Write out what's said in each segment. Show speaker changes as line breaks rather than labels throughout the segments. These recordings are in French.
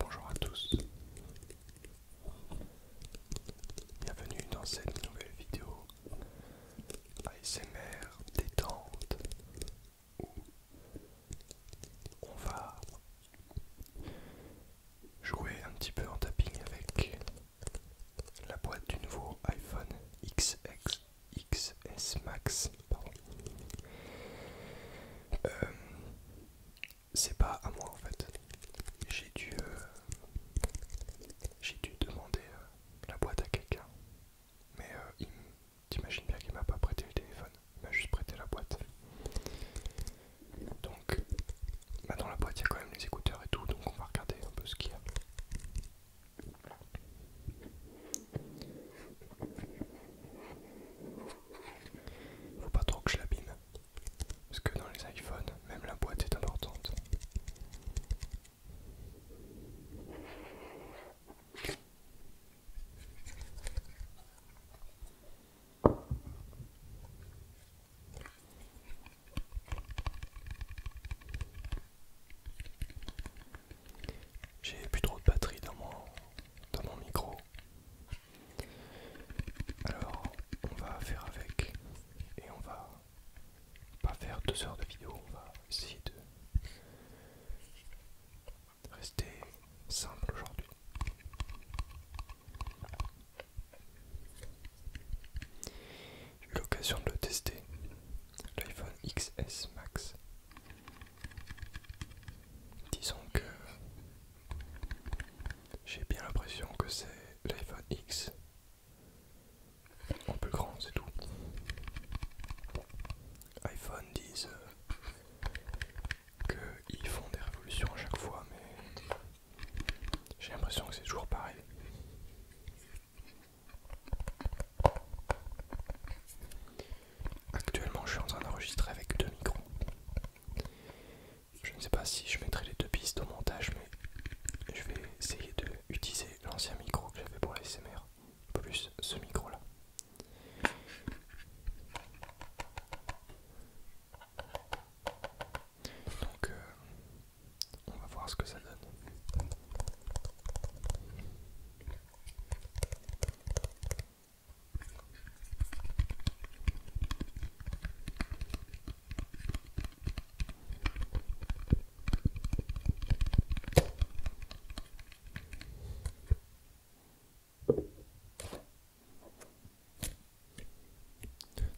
Bonjour à tous, bienvenue dans cette nouvelle vidéo ASMR détente où on va jouer un petit peu en tapping avec la boîte du nouveau iPhone XS Max c'est pas à moi en fait. J'ai dû, euh, j'ai dû demander euh, la boîte à quelqu'un. Mais euh, t'imagines bien qu'il m'a pas prêté le téléphone, il m'a juste prêté la boîte. Donc, bah, dans la boîte il y a quand même les écouteurs et tout, donc on va regarder un peu ce qu'il y a. Faut pas trop que je l'abîme. Parce que dans les iPhones, même la boîte est importante. J'ai plus trop de batterie dans mon, micro. Alors, on va faire avec et on va pas faire deux heures de vidéo, on va essayer de rester simple aujourd'hui. J'ai eu l'occasion de le tester, l'iPhone XS Max Disons que j'ai bien l'impression que c'est l'iPhone X un peu grand, c'est tout. iPhone disent euh, qu'ils font des révolutions à chaque fois, mais j'ai l'impression que c'est toujours pareil. Actuellement, je suis en train d'enregistrer avec deux micros. Je ne sais pas si je mettrai les deux pistes au montage, mais je vais essayer de utiliser l'ancien micro que j'avais pour l'ASMR, plus ce micro-là. Donc, euh, on va voir ce que ça donne.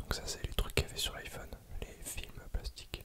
Donc ça c'est les trucs qu'il y avait sur l'iPhone, les films plastiques.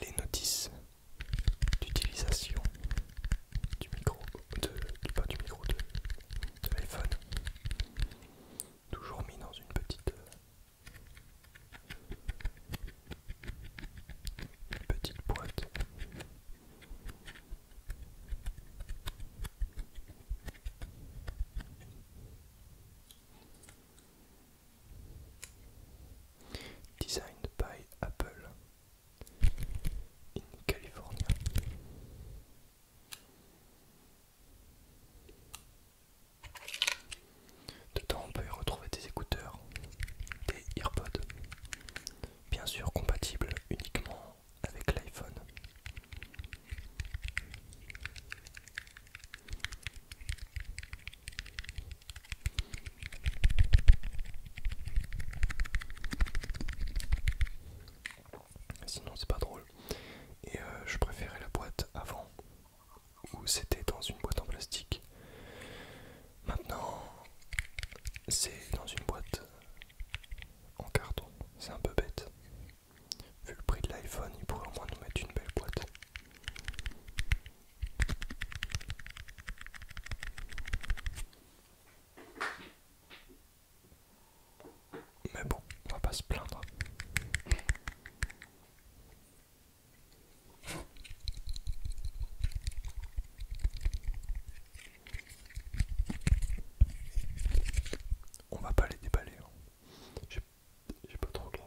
les notices d'utilisation du micro, de, du, pas du micro, de, l'iPhone. Toujours mis dans une petite, petite boîte. Designed by Apple in California. temps, on peut y retrouver des écouteurs, des AirPods, bien sûr compatibles uniquement avec l'iPhone. Sinon c'est pas drôle. Et euh, je préférais la boîte avant où c'était dans une boîte en plastique. Maintenant c'est dans une boîte en carton. C'est un peu bête. Vu le prix de l'iPhone, il pourrait au moins nous mettre une belle boîte. Mais bon, on va pas se plaindre. On va pas les déballer. Hein. J'ai pas trop gros.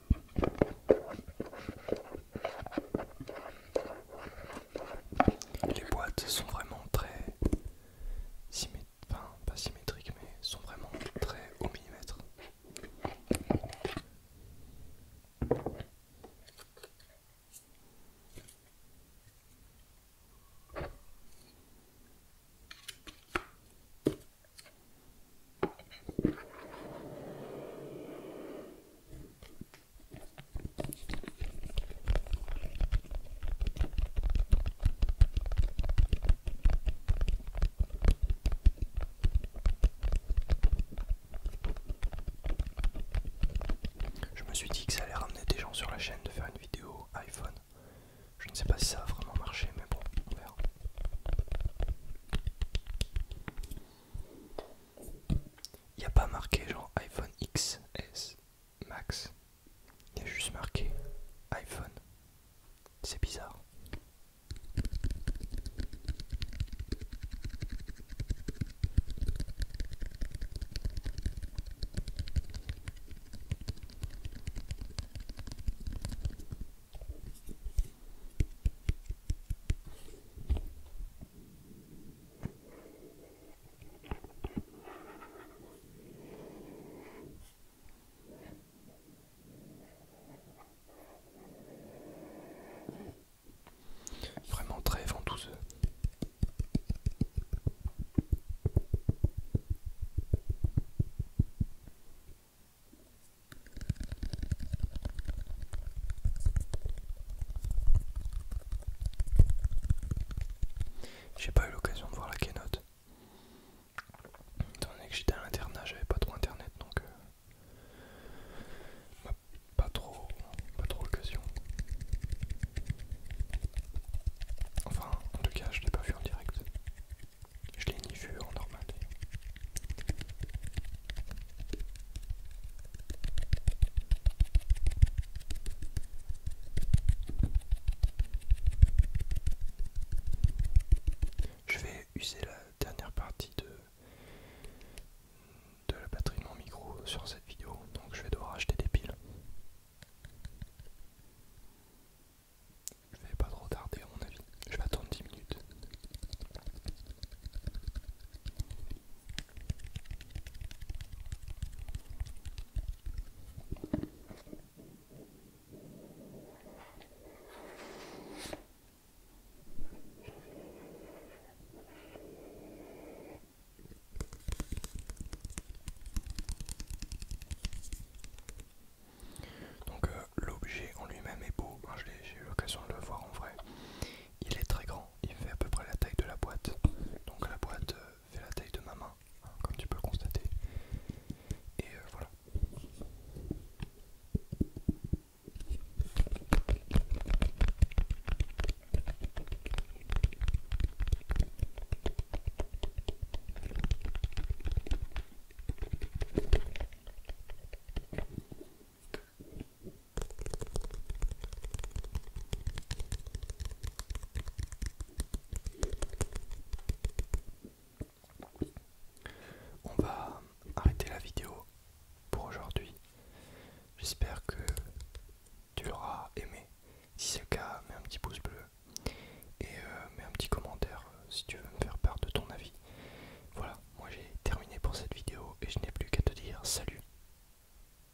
Les boîtes sont vraiment très symétriques, enfin pas symétriques mais sont vraiment très au millimètre. Je me suis dit que ça allait ramener des gens sur la chaîne de faire une vidéo iPhone je ne sais pas si ça a vraiment marché, mais bon, on verra. Il n'y a pas marqué genre iPhone XS Max. Il y a juste marqué iPhone. C'est bizarre. Vraiment très ventouseux. J'ai pas eu l'occasion de voir la keynote. Tandis que j'étais à l'internat, j'avais pas trop internet donc euh, pas trop pas trop l'occasion. Enfin, en tout cas, je l'ai pas vu en direct. Je l'ai ni vu en normal. Je vais user la dernière partie de, de la batterie de mon micro sur cette vidéo, donc je vais devoir acheter des piles. Je vais pas trop tarder mon avis. Je vais attendre 10 minutes. Donc euh, l'objet en lui-même est beau, hein, j'ai eu l'occasion de le voir en vrai. Il est très grand, il fait à peu près la taille de la boîte. Donc la boîte euh, fait la taille de ma main, hein, comme tu peux le constater. Et euh, voilà. On va arrêter la vidéo pour aujourd'hui. J'espère que tu l'auras aimé. Si c'est le cas, mets un petit pouce bleu et euh, mets un petit commentaire euh, si tu veux me faire part de ton avis. Voilà, moi j'ai terminé pour cette vidéo et je n'ai plus qu'à te dire salut.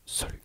Salut